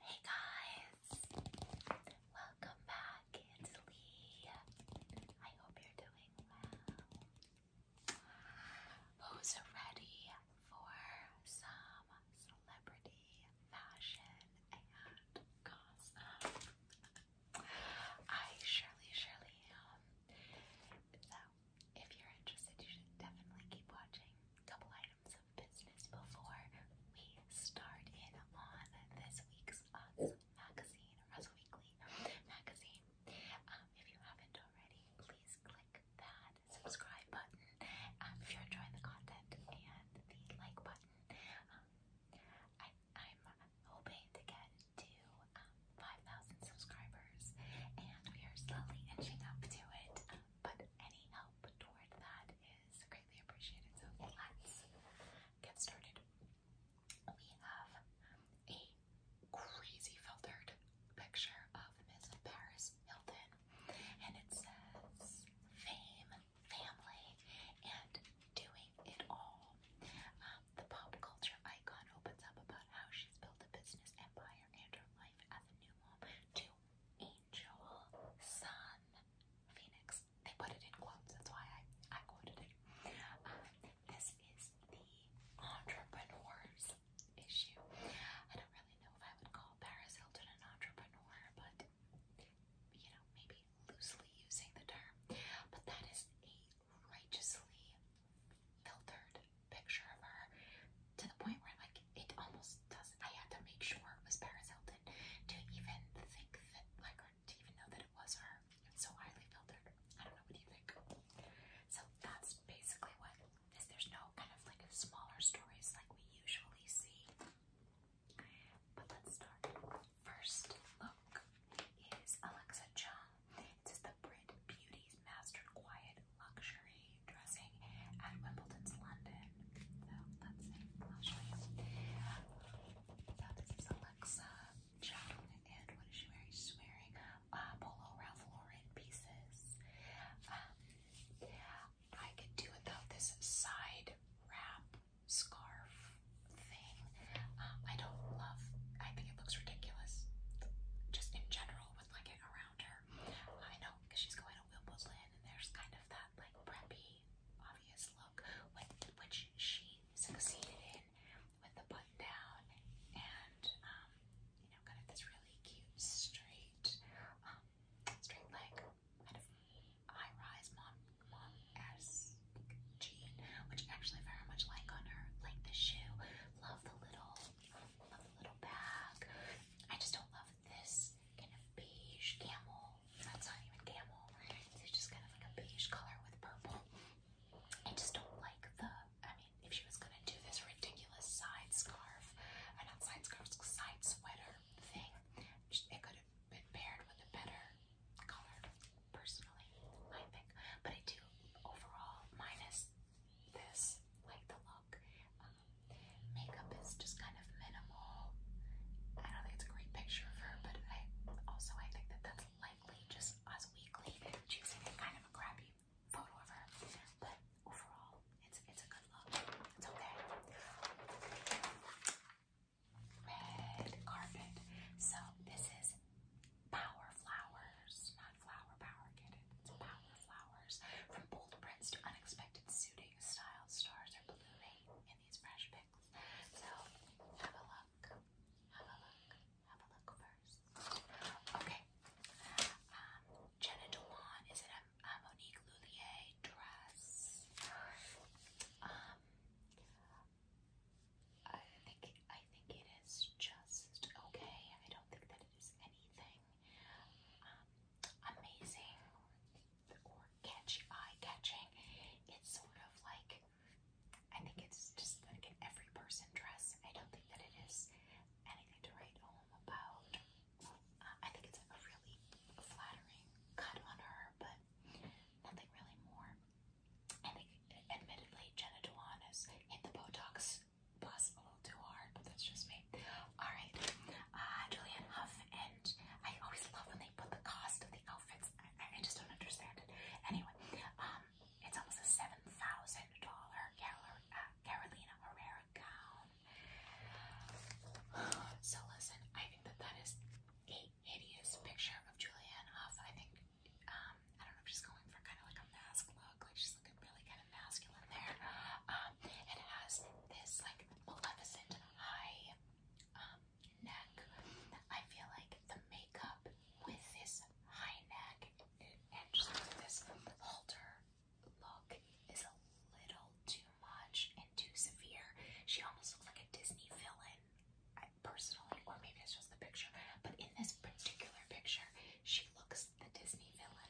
Hey guys, welcome back. It's Lee. I hope you're doing well. Who's ready for some celebrity fashion and gossip? I surely, surely am. So, if you're interested, you should definitely keep watching. Couple items business before we start in on this week's awesome magazine, Russell Weekly magazine. Um, if you haven't already, please click that subscribe button um, if you're enjoying the content and the like button. Um, I, am hoping to get to 5,000 subscribers, and we are slowly inching up to it. but any help toward that is greatly appreciated. So let's get started. We have a crazy filtered picture of Miss Paris Hilton, and it says fame, family, and doing it all. Um, the pop culture icon opens up about how she's built a business empire and her life as a new mom to angel, sun, phoenix. They put it in quotes, that's why I, I quoted it. Um, this is the entrepreneur's issue. I don't really know if I would call Paris Hilton an entrepreneur, but you know, maybe loosely using the term. But that is a righteously filtered picture of her to the point where like, it almost doesn't. I had to make sure it was Paris to even think that, I couldn't even know that it was her. so highly filtered. I don't know what do you think. So that's basically what it is. There's no kind of like smaller stories like we usually see. But let's start. First look is Alexa Chung. It says the Brit Beauty's Mastered Quiet luxury dressing at Wimbledon's London. So that's it. I'll show you. this is Alexa Chung, and what is she wearing? She's wearing uh, Polo Ralph Lauren pieces. Um, I could do without this side wrap scarf thing. Um, I don't love. I think it looks ridiculous, just in general, with like it around her. I know because she's going of and there's kind of that like preppy, obvious look, with, which she succeeded in with the button down and um, you know, kind of this really cute straight, um, straight leg kind of high rise mom mom esque jean, which actually very much like on her, like the shoe. Love the little, love the little bag. I just don't love this kind of beige camel. That's not even camel. It's just kind of like a beige color with purple. I just don't like the. I mean, if she was gonna do this ridiculous side scarf, uh, not side scarf, side sweater thing, it could have been paired with a better color. Personally, I think. But I do overall minus this like the look makeup is just kind of minimal. I don't think it's a great picture of her, but I also I think that that's likely just us weekly choosing kind of a crappy photo of her. But overall, it's it's a good look. It's okay. Red carpet. So this is Power Flowers, not flower power. Get it? It's Power Flowers. From bold prints to unexpected suiting big style stars are ballooning in these fresh picks. So have a look. Have a look. Have a look first. Okay. Um, Jenna Dewan is in a, Monique Lullier dress. Um, I think I think it is just okay. I don't think that it is anything. Um, amazing or catchy, eye-catching. It's sort of like, I think it's just like an every person dress. I don't think that it is anything to write home about. Uh, I think it's a really flattering cut on her, but nothing really more. I think, admittedly, Jenna Dewan has hit the Botox a little too hard, but that's just me. Okay. All right. Uh, Julianne Huff, and I always love when they put the cost of the outfits. I, I just don't understand it. Anyway, um, it's almost a seven thousand dollar uh, Carolina Herrera gown. So listen, I think that that is a hideous picture of Julianne Huff. I think um, I don't know if she's going for kind of like a mask look, like she's looking really kind of masculine there. Um, it has this like maleficent high um, neck. I feel like the makeup with this high neck and just this halter look is a little too much and too severe. She almost looks like a Disney villain, personally, or maybe it's just the picture. But in this particular picture, she looks the Disney villain.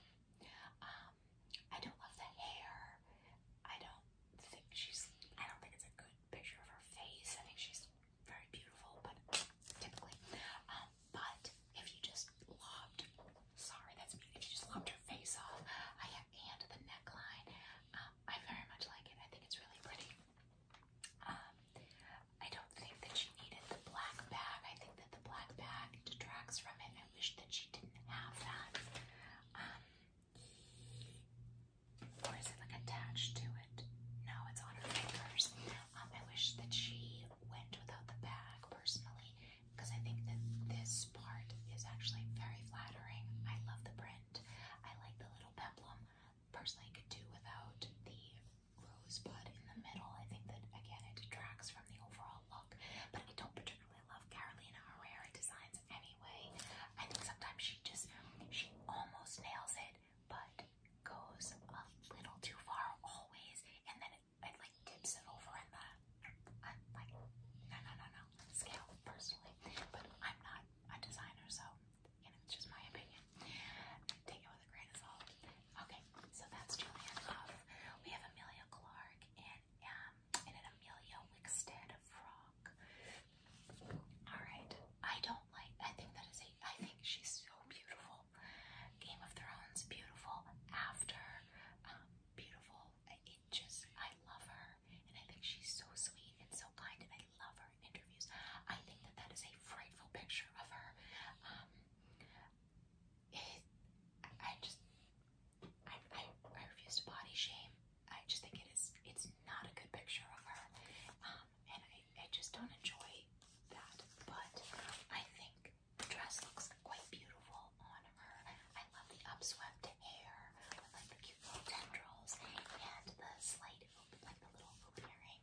Um, I don't love the hair. I don't think she's. I don't think it's a good picture of her face. I think she's very beautiful, but typically. Um, but if you just lobbed, sorry, that's me. If you just lobbed her face off, I have and the neckline. Um, I very much like it. I think it's really pretty. Um, I don't think that she needed the black bag. I think that the black bag detracts from it. I wish that she didn't have that. Um, or is it like attached to it? No, it's on her fingers. Um, I wish that she went without the bag personally because I think that this part is actually very flattering. I love the print. I like the little peplum. Personally, I could do without the rosebud in the middle. I think that again it detracts from the overall look, but I don't generally love Carolina Herrera designs anyway. I think sometimes she just she almost nails it, but goes a little too far always, and then it, like tips it over in the uh, like no no no no scale personally. But I'm not a designer, so you know it's just my opinion. Take it with a grain of salt. Okay, so that's Julianne We have Amelia Clark and um, and an Amelia Wickstead frock. Alright, I don't like, I think that is a, I think she's so beautiful. Game of Thrones, beautiful. After, um, beautiful. It just, I love her. And I think she's so sweet and so kind. And I love her interviews. I think that that is a frightful picture of her. Um, it, I just, I, I, refuse to body shame. I just think it is, it's not a good picture of her. Um, and I, I just don't enjoy that. But I think the dress looks quite beautiful on her. I love the upswept hair with like the cute little tendrils and the slight, like the little hoop earring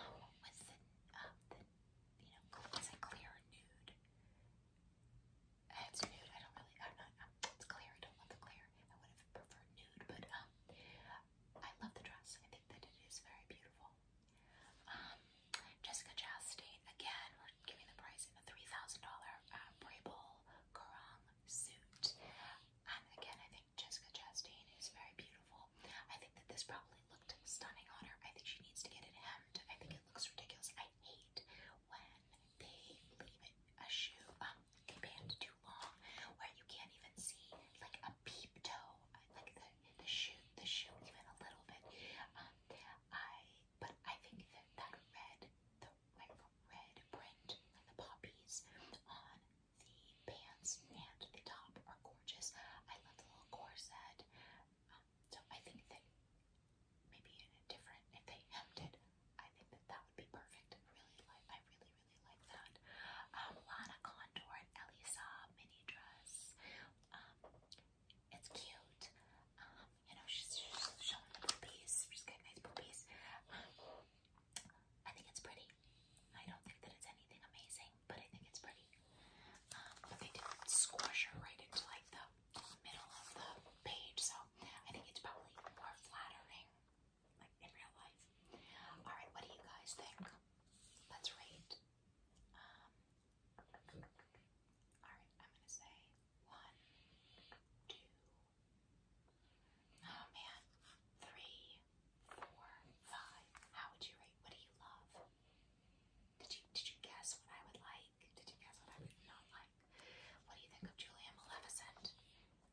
um, with uh, the, you know, it's a clear nude it's nude. I don't really. I'm not. really i am not it's clear. I don't love the clear. I would have preferred nude, but um, I love the dress. I think that it is very beautiful. Um, Jessica Chastain. Again, we're giving the price in a three thousand dollar uh, Brable suit. And again, I think Jessica Chastain is very beautiful. I think that this probably looked stunning on her. I think she needs to get it hemmed. I think it looks ridiculous. I hate when they leave a shoe, um, they band too long, where you can't even see like a peep toe, like the the shoe, the shoe even a little bit. Um, I but I think that that red, the like red print, the um, poppies on the pants and the top are gorgeous. I love the little corset. So I think that maybe in a different, if they hemmed it, I think that that would be perfect. really like, I really, really like that. Um, Lana Condor and Elisa mini dress. Um, it's cute. Um, you know, she's, showing the boobies. She's got nice boobies. Um, I think it's pretty. I don't think that it's anything amazing, but I think it's pretty. Um, but they didn't squash her right into like the middle of the page, so I think it's probably more flattering, like in real life. All right, what do you guys think? Let's rate. Um, all right, I'm gonna say one, two. Oh man, three, four, five. How would you rate? What do you love? Did you did you guess what I would like? Did you guess what I would not like? What do you think of Julia Maleficent?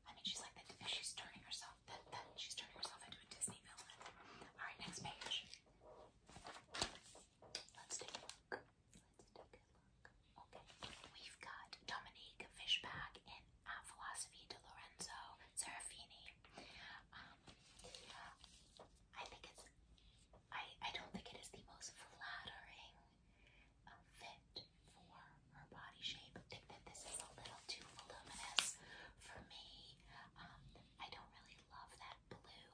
I mean, she's like the she's turning herself that that she's turning herself into a Disney villain. All right, next page. Let's take a look. Let's take a look. Okay, we've got Dominique Fishback in Philosophy de Lorenzo Serafini. Um, I think it's I, I don't think it is the most flattering uh, fit for her body shape. I think that this is a little too voluminous for me. Um, I don't really love that blue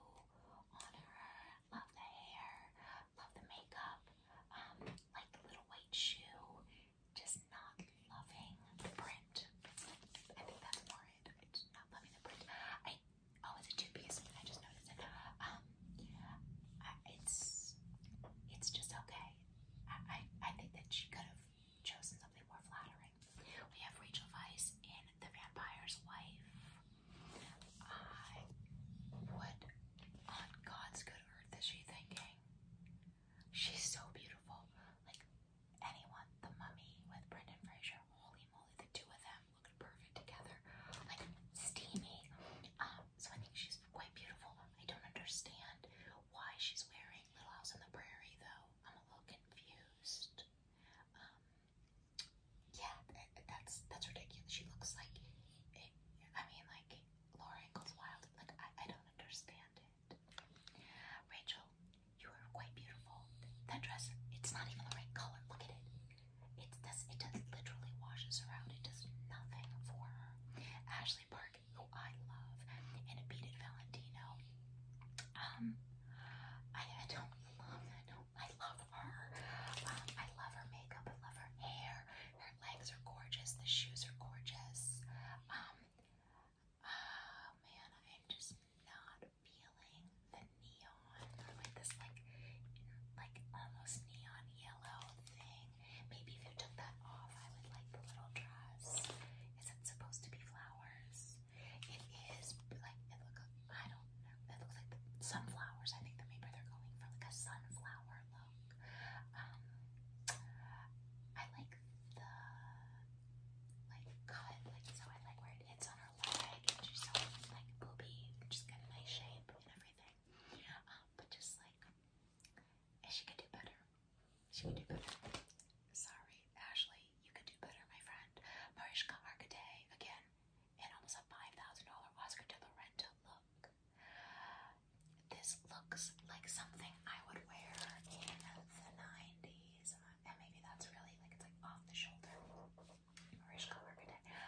on her. Love the hair. Love the makeup. Um, like the little white shoe. Just not loving the print. I think that's more it. not loving the print. Oh, it's a two-piece. I just noticed it. Um, it's it's just okay. I, I think that she could have chosen something more flattering. We have Rachel Weisz in *The Vampire's Wife*. I, what on God's good earth is she thinking? She's so beautiful. Like anyone, *The Mummy* with Brendan Fraser. Holy moly, the two of them looked perfect together, like steamy. Um, so I think she's quite beautiful. I don't understand why she's wearing Little House on the Prairie, though. I'm a little confused. Um, yeah, that's that's ridiculous. She looks like, I mean, like Laura Ingalls Wilde. Like I, I don't understand it. Rachel, you are quite beautiful. That dress, it's not even the right color. Look at it. It does. It does literally washes her out. It does nothing for her. Ashley Park, who I love, and beaded Valentino. Um, I, I don't love. I love her. Um, I love her makeup. I love her hair. Her legs are gorgeous. The shoes are gorgeous. Um. Ah, man, I'm just not feeling the neon like this like like almost neon yellow thing. Maybe if you took that off, I would like the little dress. Is it supposed to be flowers? It is like it look. I don't know. It looks like sunflowers. I think maybe they're going for like a sunflower look. Um, I like the like cut, like so. I like where it hits on her leg, and she's like booby, just got a nice shape everything. Um, but just like, she could do better. She could do better. Sorry, Ashley, you could do better, my friend. Mariska Hargitay again, and almost a five thousand dollar Oscar de la Renta look. This looks like something I would wear in the nineties, and maybe that's really like it's like off the shoulder. Orange color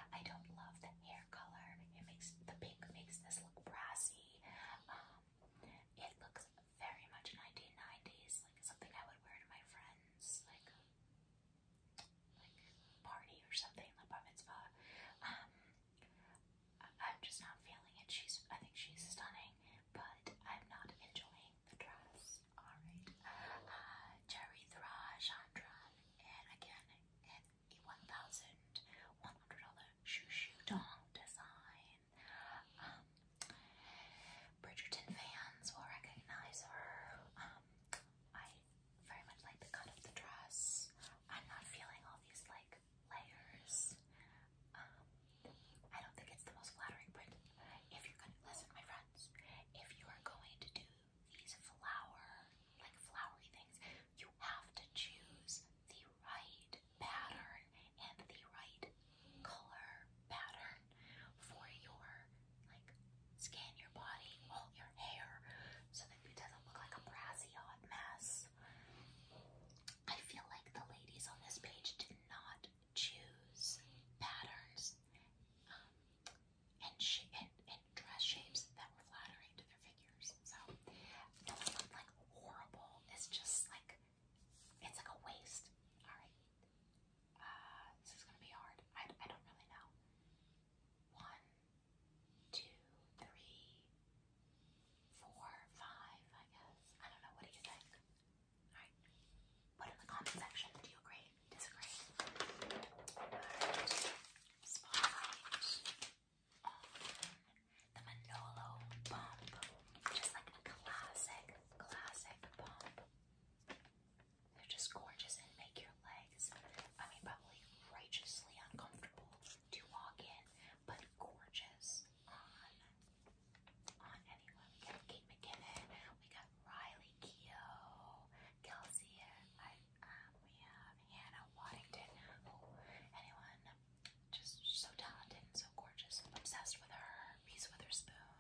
I don't love the hair color. It makes the pink makes this look brassy. Um, it looks very much 1990s, like something I would wear to my friends, like like party or something, like bar mitzvah. Um, I'm just not feeling it. She's, I think she's stunning, but I'm not enjoying the dress. All right, uh, Jerry Thra, Chandra, and again a one thousand one hundred dollar shoo shoo dong design. Um, Bridgerton fans will recognize her. Um, I very much like the cut of the dress. I'm not feeling all these like layers. Um, I don't think it's the most flattering print. If you're gonna listen, my friends, if you are going to do these flower, like flowery things, you have to choose the right pattern and the right color pattern for your, like, scan your body, all your hair, so that it doesn't look like a brassy hot mess. I feel like the ladies on this page did not choose patterns. Um, and sh in, in dress shapes that were flattering to their figures. So no one looked like horrible. It's just like it's like a waste. All right, uh, this is gonna be hard. I I don't really know. One, two, three, four, five. I guess I don't know. What do you think? All right, put in the comment section. Do you agree? disagree. But um, the Manolo bump, just like classic, classic bump. They're just gorgeous and make your legs, I mean, probably righteously uncomfortable to walk in, but gorgeous on on anyone. We got Kate McKinnon, we got Riley Keough, Kelsey, we have Hannah Waddington, who anyone just so talented and so gorgeous, obsessed with her, Reese Witherspoon,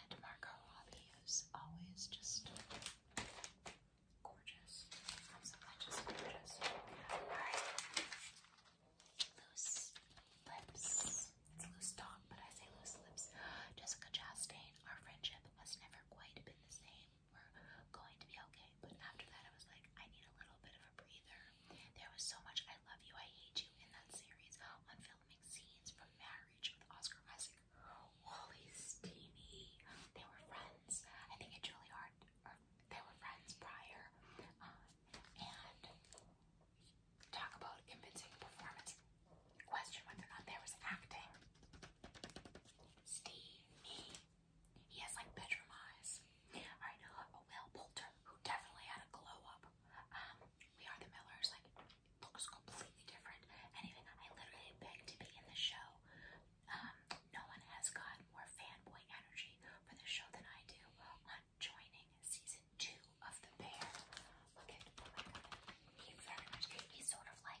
and Marco Robbie, who's always just gorgeous. so glad just gorgeous. Alright. Loose lips. It's loose tongue, but I say loose lips. Jessica Chastain, our friendship was never quite big were the same, were going to be okay. But after that, I was like, I need a little bit of a breather. There was so much I love you, I hate you in that series on filming scenes from Marriage with Oscar Isaac. Holy steamy. They were friends. I think it's really hard. Or they were friends prior. Um, and talk about convincing performance. Question whether or not there was acting. Steamy. He has like bedroom eyes. I know a Will Poulter, who definitely had a glow up. Um, we are the Millers, like looks completely different. And even I literally begged to be in the show. Um, no one has got more fanboy energy for the show than I do I'm joining season two of the bear. Oh he's very much he's sort of like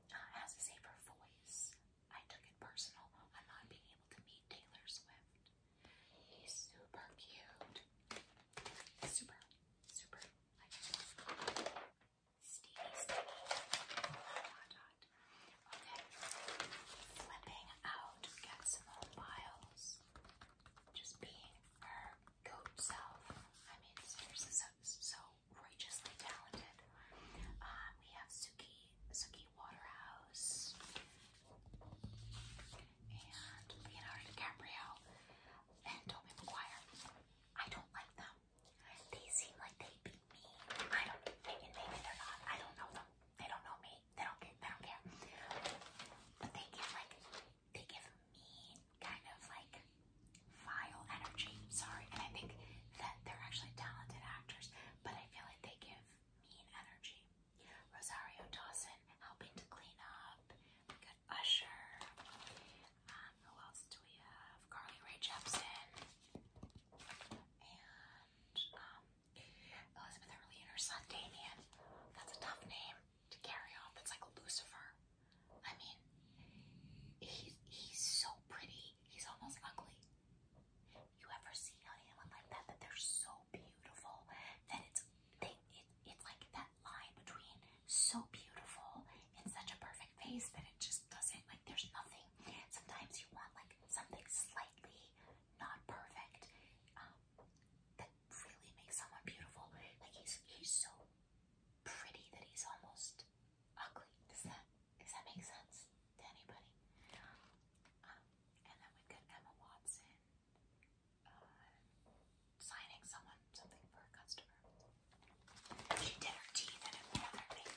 uh, a safer voice. I took it personal I'm not being able to meet Taylor Swift. He's super cute. Super, super. Like Stevie, Stevie. Dot, Okay. Flipping out. Get some more Just being her goat self. I mean, so outrageously talented. Um, we have Suki, Suki Waterhouse, and Leonardo DiCaprio, and Tobey Maguire. I don't like them. They seem like they beat me. I don't. Maybe, maybe they're not. I don't know them. They don't know me. They don't. They don't care. But they give like they give mean kind of like vile energy. Sorry, and I think that they're actually talented actors, but I feel like they give mean energy. Rosario Dawson helping to clean up. We got Usher. Um, who else do we have? Carly Rae Jepsen and um, Elizabeth Early and her son Damien. That's a tough name to carry off. It's like Lucifer. I mean, he's he's so pretty. He's almost ugly. You ever see anyone like that? That they're so beautiful that it's they it, it's like that line between so beautiful and such a perfect face that it just doesn't like. There's nothing. Sometimes you want like something slightly not perfect um, that really makes someone beautiful. Like he's he's so pretty that he's almost ugly. Does that does that make sense to anybody? Um, and then we get Emma Watson uh, signing someone something for a customer. She did her teeth and everything.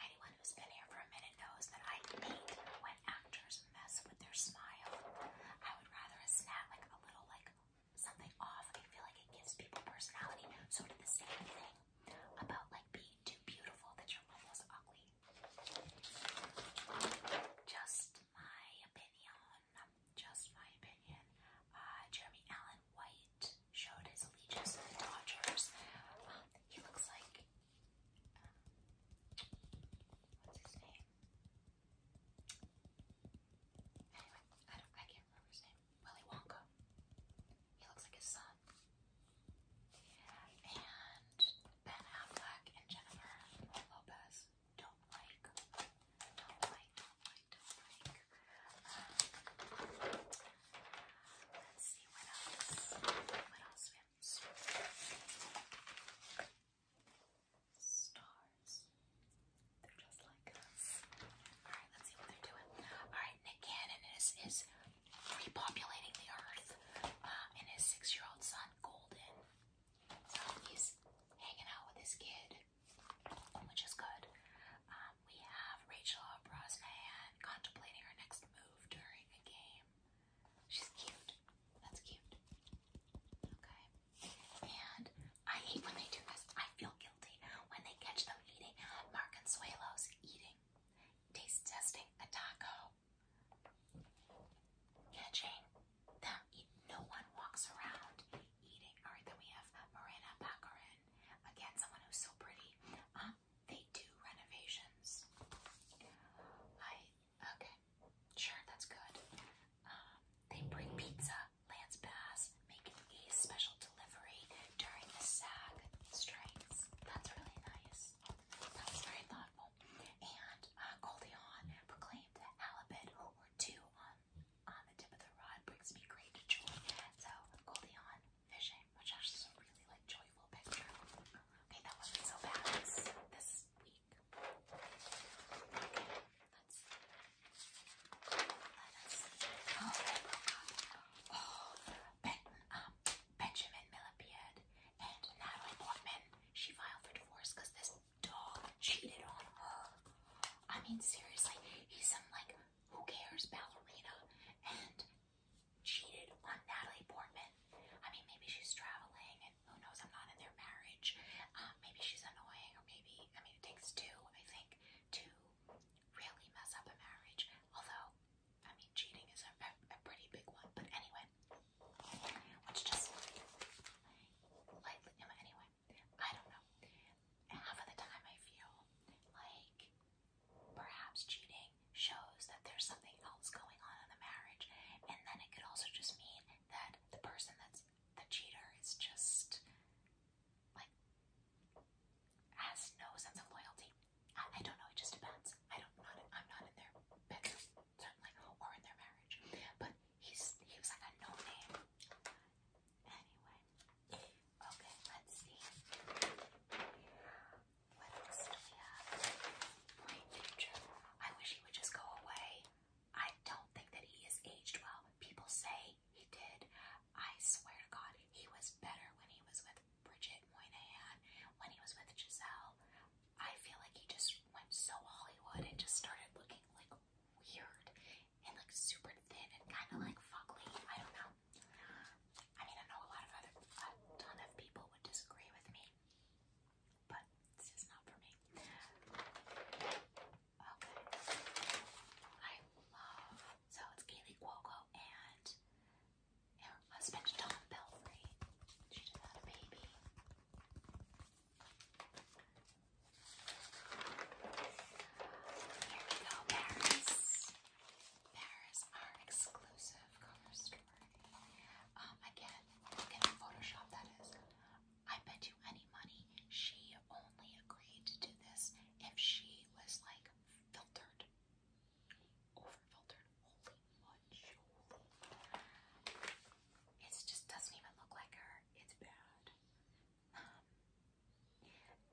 Anyone who's been here for a minute knows that I hate when actors mess with their smile. I would rather a snap like a little like something off. I feel like it gives people personality. So did the same thing about like being too beautiful that you're almost ugly. Just my opinion. Just my opinion. Uh, Jeremy Allen White showed his allegiance to the Dodgers. Um, he looks like um, what's his name? Anyway, I I can't remember his name. Willy Wonka. He looks like his son. And Ben Affleck and Jennifer Lopez. Don't like, don't like, don't like, don't like. Um, let's see what else. What else we have? Stars. They're just like us. Alright, let's see what they're doing. Alright, Nick Cannon is, repopulating the earth. Um, and his six year old son, Golden. So he's hanging out with his kid, which is good. Um, we have Rachel Brosnahan contemplating her next move during a game. She's cute. That's cute. Okay. And I hate when they do this. I feel guilty when they catch them eating Marconsuelos eating. Taste testing a taco. Catching them No one walks around eating. Alright, then we have Marina Baccarin. Again, someone who's so pretty. Um, they do renovations. I okay. Sure, that's good. Um, they bring pizza. Lance pass making a special delivery during the SAG strikes. That's really nice. That was very thoughtful. And uh, Goldie Hawn proclaimed that halibut were two on on the tip of the rod brings me great joy. So Goldie Hawn fishing, which actually is a really like joyful picture. Okay, that wasn't so bad this, week. Let's Let us oh, oh, oh ben, um, Benjamin Millipied and Natalie Portman. She filed for divorce because this dog cheated on her. I mean, seriously, he's some like who cares ballerina and cheated on Natalie Portman. I mean, maybe she's traveling and who knows, I'm not in their marriage. Uh, maybe she's annoying or maybe, I mean, it takes two, I think, two really mess up a marriage. Although, I mean, cheating is a, pretty big one. But anyway, let just lightly. Anyway, I don't know. Half of the time, I feel like perhaps cheating shows that there's something else going on in the marriage, and then it could also just mean that the person that's the cheater is just like has no sense of loyalty. I, I don't know. It just depends. I don't. Not, I'm not in their bedroom or in their marriage. But he's he was like a no name. Anyway, okay. Let's see. What else do we future. I wish he would just go away. I don't think that he is aged well. People say he did. I swear to God, he was better when he was with Bridget Moynihan, when he was with Giselle. I feel like he just went so Hollywood and just started looking like weird and like super thin and kind of like fuckly. I don't know. I mean, I know a lot of other, ton of people would disagree with me, but this is not for me. Okay. I love. So it's Kaylee Cuoco and her husband Tom Pelfrey. She just had a baby. Here we go, Paris. Paris, our exclusive cover story. Um, again, look Photoshop that is. I bet you any money she only agreed to do this if she was like filtered, over filtered. Holy it just doesn't even look like her. It's bad. Um,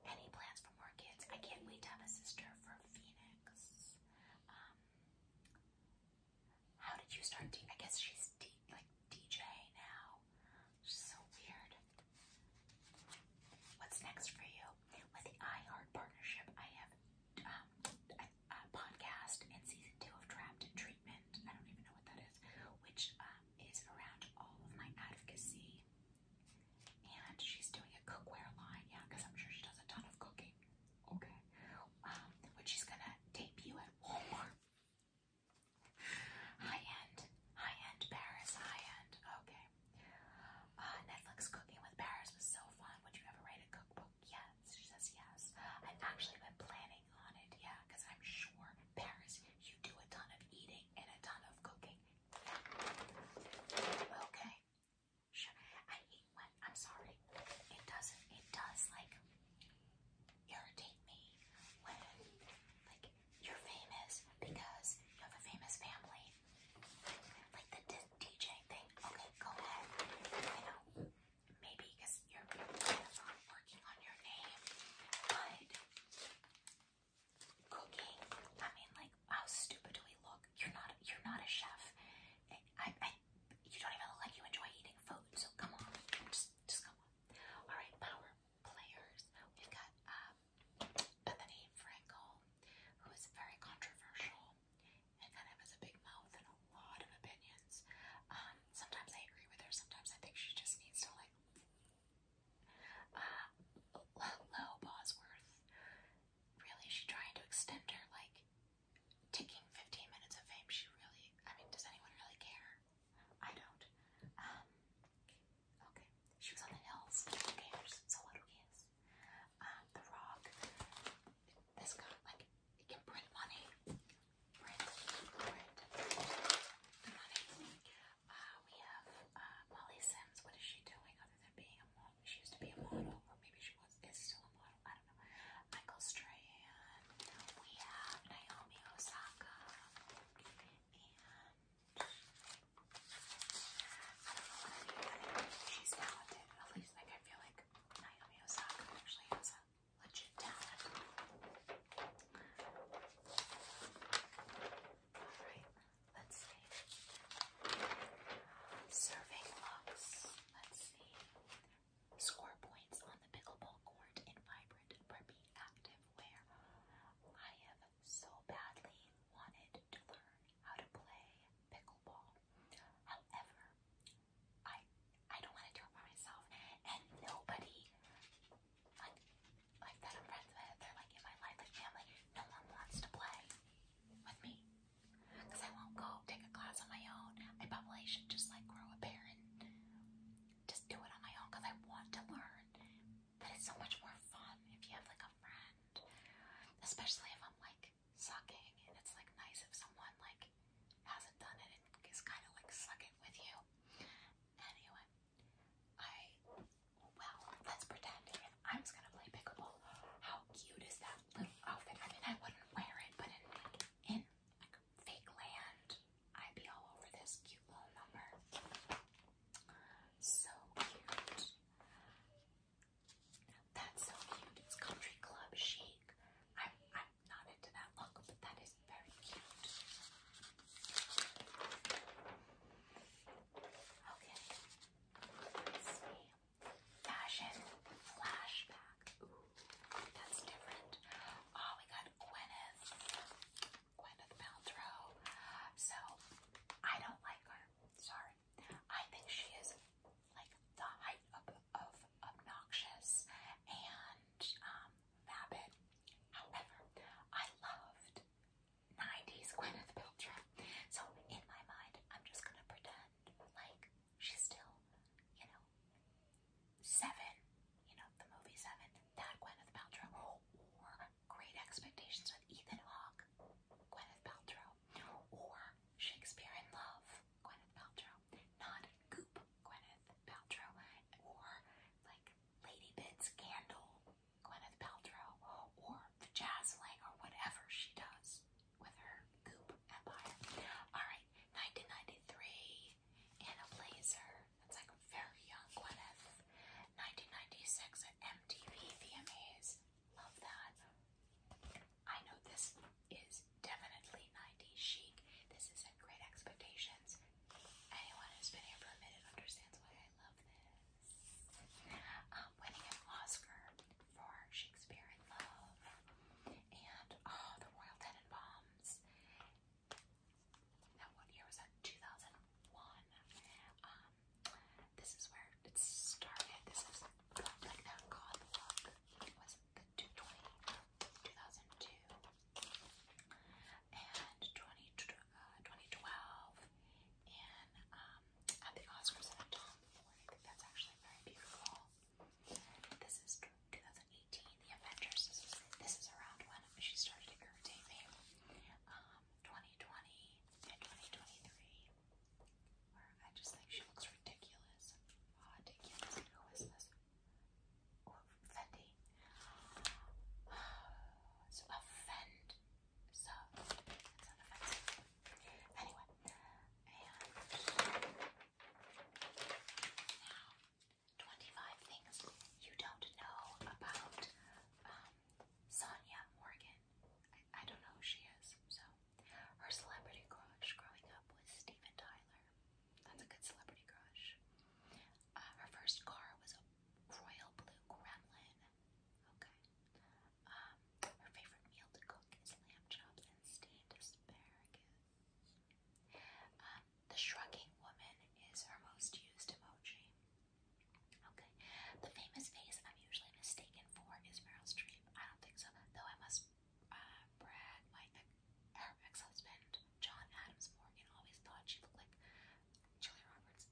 any plans for more kids? I can't wait to have a sister for Phoenix. Um, how did you start? I guess she's like DJ now so weird. What's next for you? With the iHeart partnership, I have um, a, podcast and season two of Trapped in Treatment. I don't even know what that is, which um, is around all of my advocacy. And she's doing a cookware line, yeah, because I'm sure she does a ton of cooking. Okay. Um, which she's gonna debut at Walmart. High end, high end Paris, high end. Okay. Uh, Netflix Cooking with Paris was so fun. Would you ever write a cookbook? Yes. She says yes. I've actually been planning on it. Yeah, because I'm sure Paris, you do a ton of eating and a ton of cooking. Okay. Sure. I eat when I'm sorry. It doesn't. It does like irritate me when like you're famous because you have a famous family. Like the DJ thing. Okay, go ahead. I know maybe because you're working on your name, but cooking. I mean, like, how stupid do we look? You're not. You're not a chef. I you don't even look like you enjoy eating food. So come on, just, just come on. All right, power players. We've got um, Bethany Frankel, who is very controversial and kind of has a big mouth and a lot of opinions. Um, sometimes I agree with her, sometimes I think she just needs to, like, uh, hello, Bosworth. Really, is she trying to extend her, like, taking 15 minutes of fame? She really, I mean, does anyone really care? I don't. Um, okay, she was on the hills. Who um, the Rock. This guy, like, it can print money. Print, print, the money. Uh, we have uh, Molly Sims. What is she doing other than being a model? She used to be a model, or maybe she was is still a model. I don't know. Michael Strahan. We have Naomi Osaka and She's talented. At least, like, I feel like Naomi Osaka actually has a legit talent. Alright, let's see. Serving looks. Let's see. Score points on the pickleball court in vibrant preppy active wear. I have so badly wanted to learn how to play pickleball. However, I I don't want to do it by myself, and nobody like like that I'm friends with, they're like in my life, family. No one wants to play with me because I won't go take a class on my own. I probably should just like grow a pair and just do it on my own because I want to learn. But it's so much more fun if you have like a friend, especially if I'm like sucking and it's like nice if someone like hasn't done it and is kind of like sucking with you. Anyway, I well let's pretend I'm just gonna play pickleball. How cute is that little outfit? I mean, I wouldn't wear it, but in in like fake land, I'd be all over this cute little number. So cute. That's so cute. It's country club chic. I'm I'm not into that look, but that is very cute. Okay. Let's see. Fashion flashback. that's different. Oh, we got Gwyneth. Gwyneth Paltrow. So I don't like her. Sorry. I think she is like the height of, of obnoxious and um, vapid. However, I loved 90s Gwyneth Paltrow. So in my mind, I'm just gonna pretend like she's still, you know, seven. You know, the movie Seven, that Gwyneth Paltrow, or Great Expectations with Ethan Hawke, Gwyneth Paltrow, or Shakespeare in Love, Gwyneth Paltrow, not Goop, Gwyneth Paltrow, or like Lady Bits Candle, Gwyneth Paltrow, or the Jazz Lang, or whatever she does with her Goop empire. All right, 1993, Anna Blazer. That's like very young Gwyneth. 1996 at MTV VMAs. Love that. I know this is definitely ninety chic. This is at Great Expectations. Anyone who's been here for a minute understands why I love this. Um, winning an Oscar for Shakespeare in Love. And, oh, The Royal Tenenbaums. Now, what year was that? 2001. Um, this is where it started. This is like that God look. It was the 220, and 20, uh, and um, at the Oscars and Tom I think that's actually very beautiful. This is 2018, The Avengers. This is, this is around when she started to irritate me. Um, 2020 and 2023. Where I just think she looks ridiculous. Ah, ridiculous. Who is this? Oh, Fendi. So offend. So it's offensive. Anyway, and now 25 things you don't know about um, Sonia Morgan. I, don't know who she is, so. Her celebrity crush growing up was Steven Tyler. That's a good celebrity crush. Uh, her first car was a royal blue gremlin. Okay. Um, her favorite meal to cook is lamb chops and steamed asparagus. Um, the shrugging woman is her most used emoji. Okay. The famous face I'm usually mistaken for is Meryl Streep. I don't think so, though I must uh, brag. My her ex-husband, John Adams Morgan, always thought she looked like Julia Roberts.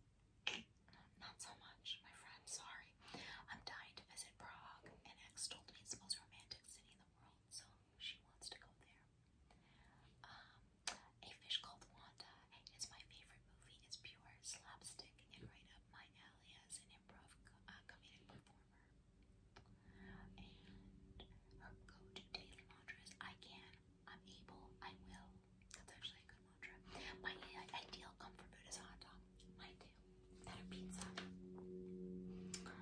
Not so much, my friend. Sorry. I'm dying to visit Prague. An ex told me it's the most romantic city in the world, so she wants to go there. Um, a Fish Called Wanda is my favorite movie. It's pure slapstick and right up my alley an improv uh, comedic performer. And her go-to daily mantra is, I can, I'm able, I will. That's actually a good mantra. My ideal comfort food is hot dog. My ideal. And pizza. what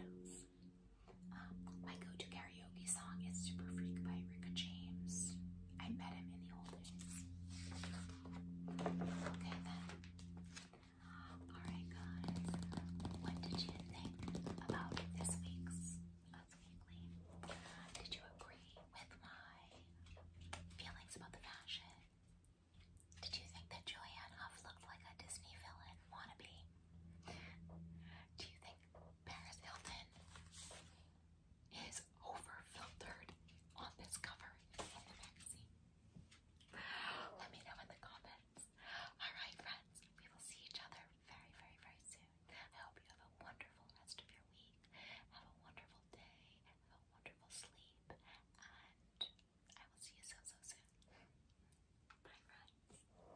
else? Um, my go-to karaoke song is Super Freak by Rick James. I met him in the old days. Okay then. Alright guys, what did you think about this week's Weekly? Did you agree with my feelings about the fashion? Did you think that Julianne Hough looked like a Disney villain wannabe? Do you think Paris Hilton is over on this cover of the magazine. Let me know in the comments. Alright friends, we will see each other very, very, very soon. I hope you have a wonderful rest of your week. Have a wonderful day. Have a wonderful sleep. And I will see you so, so soon. Bye friends.